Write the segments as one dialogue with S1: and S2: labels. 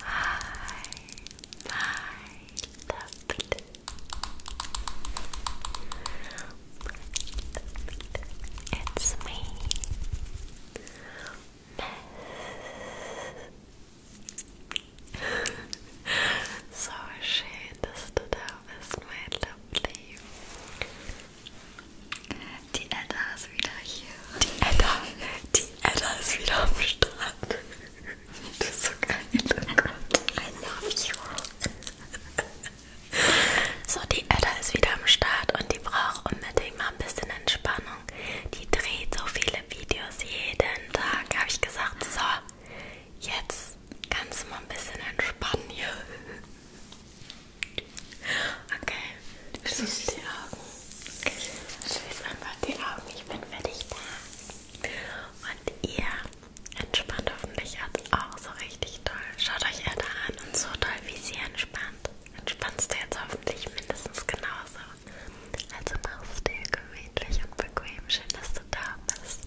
S1: Hi, my lovely, it's me, So schön, dass du da bist, mein Lovely. Die Edda ist wieder hier. Die Edda, die Edda ist wieder am Start. Das ist so geil. Oh Gott. I love you. So, die Edda ist wieder am Start und die braucht unbedingt mal ein bisschen Entspannung. Die dreht so viele Videos jeden Tag. Habe ich gesagt, so, jetzt kannst du mal ein bisschen entspannen hier. Okay, schließ die Augen. Schließ einfach die Augen, ich bin für dich da. Und ihr entspannt hoffentlich jetzt auch so richtig toll. Schaut euch Erde an und so toll, wie sie entspannt. Entspannst du jetzt hoffentlich mindestens genauso. Also mach's dir gemütlich und bequem. Schön, dass du da bist.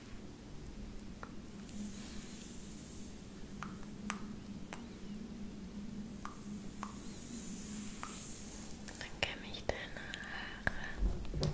S1: Dann kämme ich deine Haare. Dann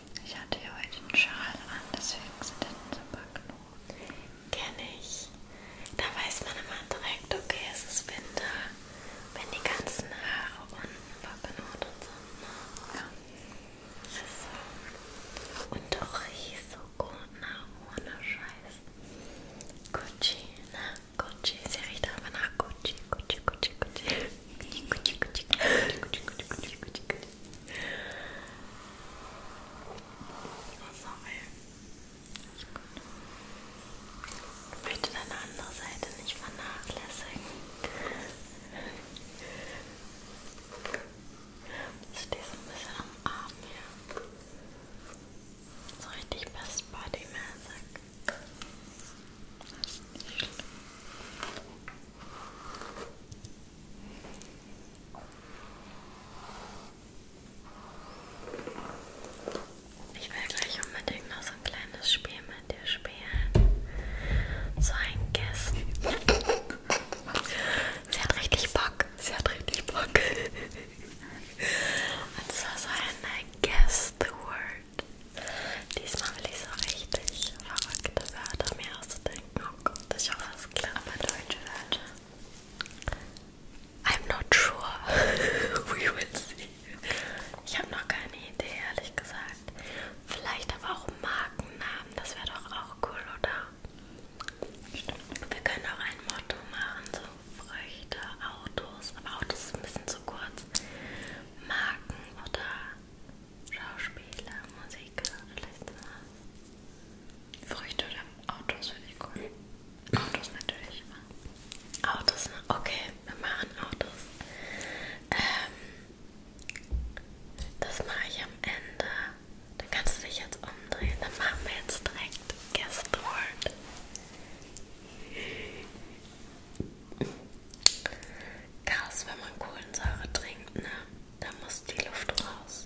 S1: Ich hatte ja heute einen Schal an, deswegen sind hinten so ein paar Knoten. Kenne ich. Da weiß man immer direkt, okay, es ist Winter, wenn die ganzen Haare unten verknotet sind. Ne? Ja. Also, und auch so gut, ne? Ohne Scheiß. Gucci, ne? Gucci. Sie riecht aber nach Gucci, Gucci, Gucci, Gucci. Ich möchte deine andere Seite nicht vernachlässigen. Ich stehe so ein bisschen am Arm hier. So richtig best bodymäßig. Das ist nicht schlimm. Ich will gleich unbedingt noch so ein kleines Spiel mit dir spielen. So ein Guess. Sie hat richtig Bock. Sie hat richtig Bock. Und zwar so ein Guess the Word. Diesmal will ich so richtig verrückte Wörter mir ausdenken. Oh Gott, ich hoffe, es klappt bei Deutsch, Leute. I'm not sure. We will see. Ich habe noch keine Idee, ehrlich gesagt. Vielleicht aber auch Markennamen, das wäre doch auch cool, oder? Stimmt. Wir können auch ein Motto machen, so Früchte, Autos, aber Autos ist ein bisschen zu kurz. Marken oder Schauspieler, Musiker, Listener. Früchte oder Autos finde ich cool. Autos natürlich immer. Autos, ne? Okay, wir machen Autos. Ähm, das mache ich am Ende. Dann kannst du dich jetzt umdrehen. Dann machen wir jetzt direkt Guess the Word. Krass, wenn man Kohlensäure trinkt, ne? Da muss die Luft raus.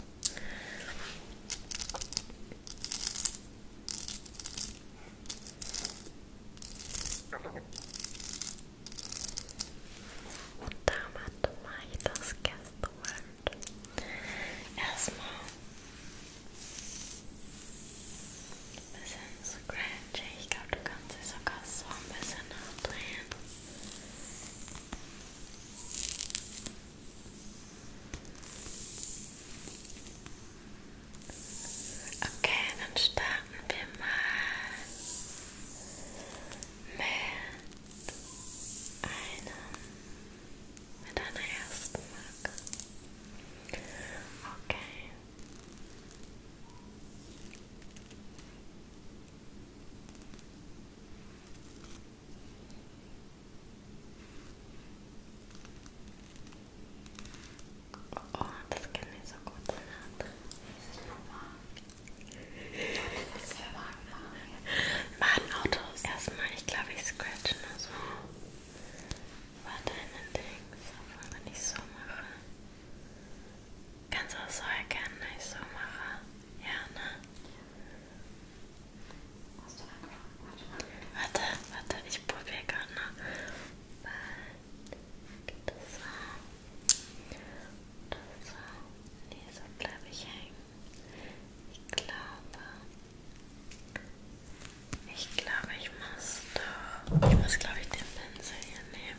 S1: Und damit mache ich das Gästewand. Erstmal ein bisschen scratch. Orange. Ich glaube, du kannst sie sogar so ein bisschen abdrehen. Okay, dann starten wir mal mit einem, mit einer ersten Marke. Okay. Oh, das kenne ich so gut. Dieses Puma. Das ist Autos. Erstmal, ich glaube, ich scratch nur so. War deine Dings, obwohl wenn ich so mache. Kannst du auch so erkennen, dass ich so mache? Ja, ne? Hast du warte, warte, ich probiere gerade noch. Bald geht das so. Das so. Nee, so bleibe ich hängen. Ich glaube. Ich glaube, ich muss doch. Ich muss, glaube ich, den Pinsel hier nehmen.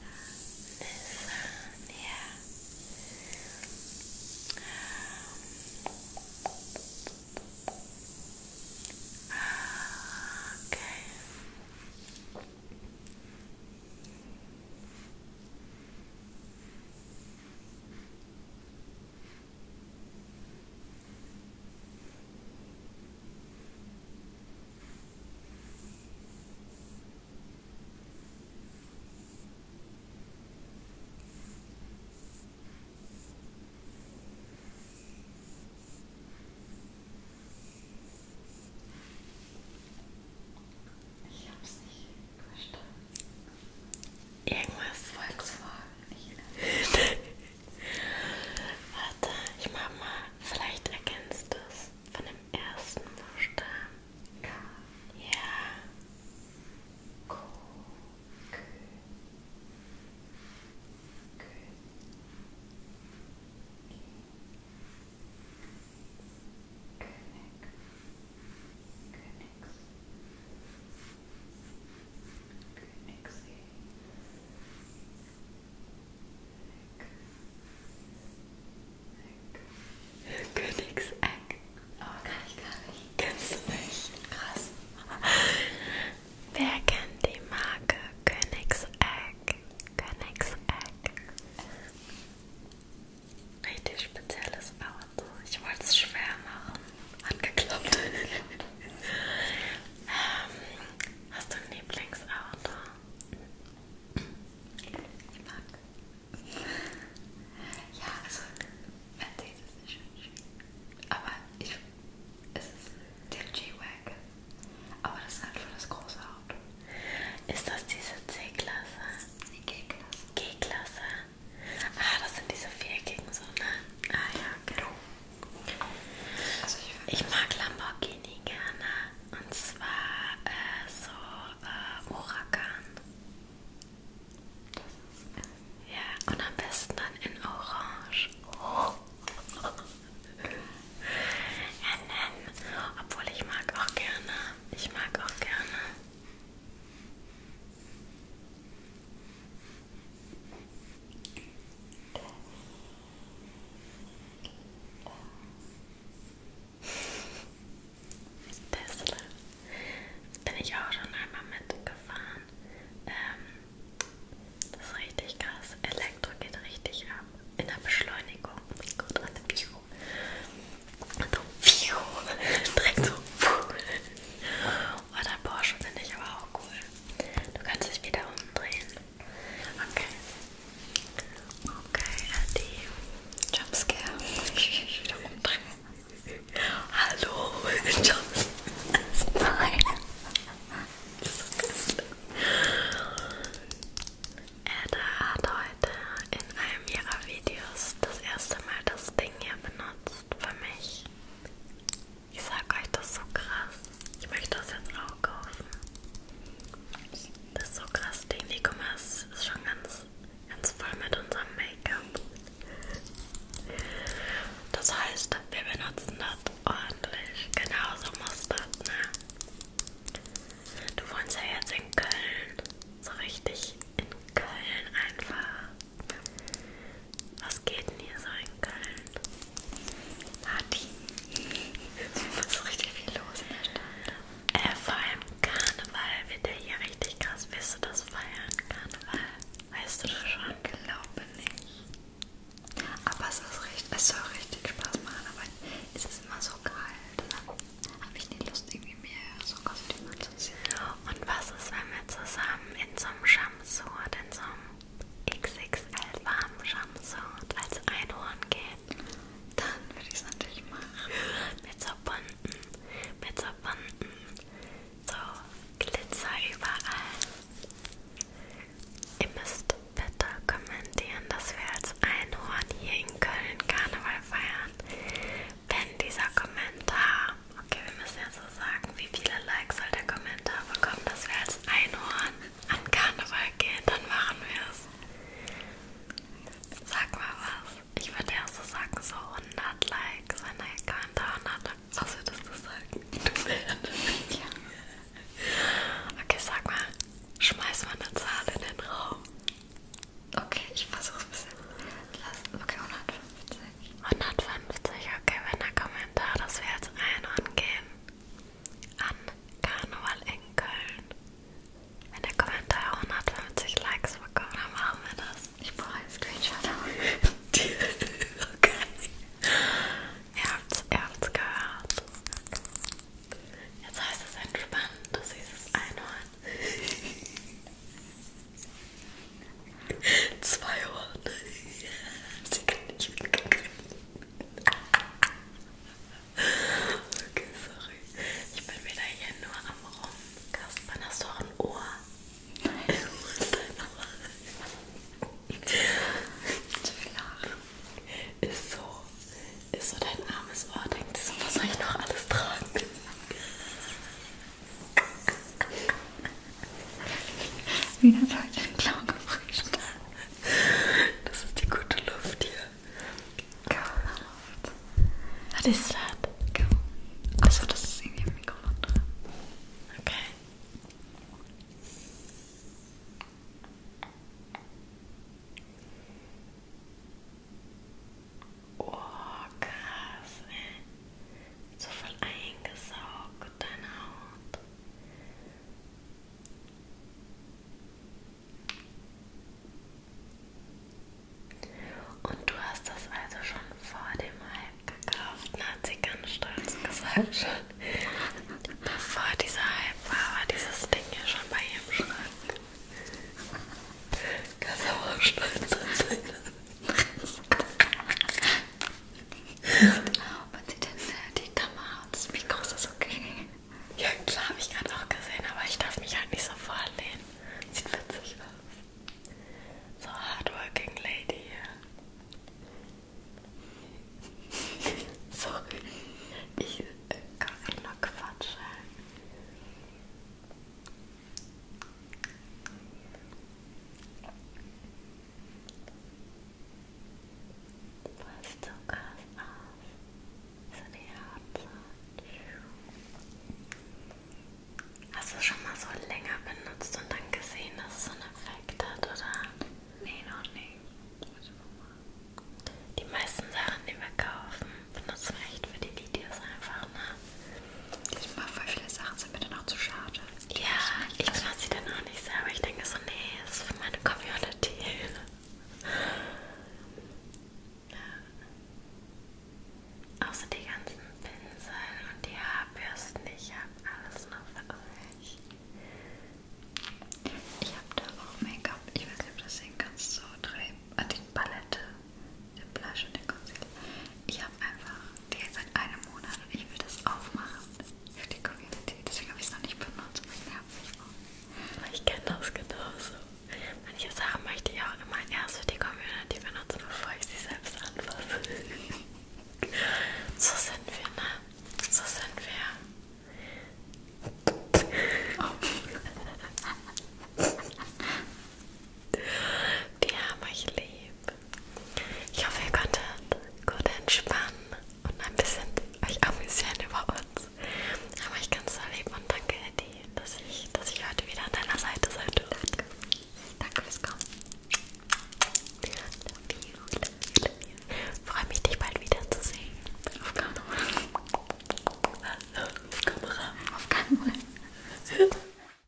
S1: This, uh, yeah. Um, okay. Okay. Ich hab's nicht verstanden. Irgendwas Volkswagen. Warte, ich mach mal, vielleicht erkennst du es von dem ersten Buchstaben. K. Ja. K. K. K. König, Königs, König, Good exhale. Good. Königseck. Oh, kann ich gar nicht. Kannst du nicht. Krass. Wer kennt die Marke Königseck? Königseck. Richtig spezielles Auto. Ich wollte es schwer machen. Hat geklappt. ähm, Hast du ein Lieblingsauto? Ich mag. Ja, also Mercedes ist schon schön. Aber ich, es ist der G-Wagon. Aber das ist halt für das große Auto. Ist das diese C-Klasse? Die G-Klasse. G-Klasse. Ah, das sind diese viereckigen so, ne? Ah ja, genau. Okay. Ich mag Lamborghini gerne. Und zwar äh, so äh, Huracan. Äh, ja, und am besten dann in Orange. Ja, nein. Obwohl ich mag auch gerne. Ich mag auch gerne. Tesla. Jetzt bin ich auch schon einmal mitgefahren. Ähm, das ist richtig krass. Elektro geht richtig ab. In der Beschleunigung. Oh mein Gott, an dem Bio. Und so, Bio. Direkt so. Puh. Oh, dein Porsche finde ich aber auch cool. Du kannst dich wieder umdrehen. Okay. Okay, die Jumpscare. Ich mich wieder umdrehen. Hallo, Jumpscare. Ada hat heute in einem ihrer Videos das erste Mal das Ding hier benutzt für mich. Ich sag euch, das ist so krass. Ich möchte das jetzt auch kaufen. Das ist so krass, Ding. Die guck mal, es ist schon ganz, ganz voll mit unserem Make-up. Das heißt, wir benutzen das ordentlich. Genauso muss das, ne? Du wohnst ja jetzt in Köln. So richtig in Köln einfach. Was geht denn hier so in Köln? Party. Es ist richtig viel los in der Stadt. Äh, vor allem Karneval wird ja hier richtig krass. Wirst du das feiern, Karneval? Weißt du das schon? Ich glaube nicht. Aber es, ist richtig, es soll richtig Spaß machen, aber es ist immer so kalt. Dann habe ich nicht Lust, irgendwie mehr so Kostüme zu sehen. Und was ist, wenn wir zusammen in so einem Schamsur, in so einem XXL warmen Shampoo und als Einhorn gehen, dann würde ich es natürlich machen. Mit so bunten, mit so bunten, so Glitzer überall. Ihr müsst bitte kommentieren, dass wir als Einhorn hier in Köln Karneval feiern. Wenn dieser Kommentar okay, wir müssen ja so sagen, wie viele Likes soll der Kommentar bekommen, dass wir als Einhorn an Karneval gehen, dann machen wir es. Sag mal was. Ich würde ja so sagen, so 100 Likes, wenn der Kommentar 100 Was würdest du sagen? Du ja. Okay, sag mal, schmeiß mal eine Zahl in den Raum. Okay, ich versuch's ein bisschen. Lass, okay, 150. 150, okay, wenn der Kommentar, dass wir jetzt einhorn gehen an Karneval in Köln. Wenn der Kommentar 150 Likes bekommt, dann machen wir das. Ich brauche einen Screenshot. okay. Ihr habt's, ihr habt's gehört. Jetzt heißt es entspannt, du siehst es Einhorn. Zwei Ohren. Sie kann nicht mitgehen. Okay, sorry. Ich bin wieder hier nur am Rum. Kasper, hast du auch ein Ohr? Nein. Ist dein Ohr. Ist so. Ist so dein armes Ohr. Denkt so, was soll ich noch alles tragen? Wieder Leute den Clown gefrischt. Das ist die gute Luft hier. God. Was ist das? Kaum. Achso, das ist irgendwie am Mikrofon dran. Okay. Oh, krass, ey so voll eingesaugt, deine Haut. Und du hast das also schon vor dem Hype gekauft, ne? hat sie ganz stolz gesagt schon. Bevor dieser Hype war, war dieses Ding ja schon bei ihrem Schrank. Kannst aber auch stolz sein. Man sieht dann äh, die Kamera und das Mikro ist das okay. Ja, klar, habe ich gerade auch gesehen, aber ich darf mich halt nicht so vorlehnen. Sieht witzig aus. So hardworking lady hier. Sorry. Ich äh, kann nur quatschen. Was du krass aus. So die Haut. Hast du schon mal so länger benutzt und dann gesehen, dass es so einen Effekt hat, oder? Nee, noch nicht. Die meisten Sachen, die wir kaufen, benutzen wir echt für die Videos einfach, ne? Diesmal voll viele Sachen sind mir dann auch zu schade. Ja, ich mache sie dann auch nicht selber. Ich denke so, nee, ist für meine Community. Ja. Außer die ganzen Pinsel und die Haarbürsten. Ich habe alles noch für euch. Ich habe da auch Make-up. Ich weiß nicht, ob das sehen kannst. So drei. Ah, die Palette, den Blush und den Concealer. Ich habe einfach die ist seit einem Monat und ich will das aufmachen für die Community. Deswegen habe ich es noch nicht benutzt. Ich, ich kenne das genauso. Manche Sachen möchte ich auch immer erst für die Community benutzen, bevor ich sie selbst anfasse. so sind wir, ne? So sind wir. Oh. Die haben euch lieb. Ich hoffe, ihr konntet gut entspannen und ein bisschen euch amüsieren über uns. Haben euch ganz so lieb und danke, Eddie, dass ich, dass ich heute wieder an deiner Seite sein durfte. Danke fürs Kommen. Love you, love you, love you. Freue mich, dich bald wiederzusehen. Auf Kamera. Auf Kamera. Auf Kamera.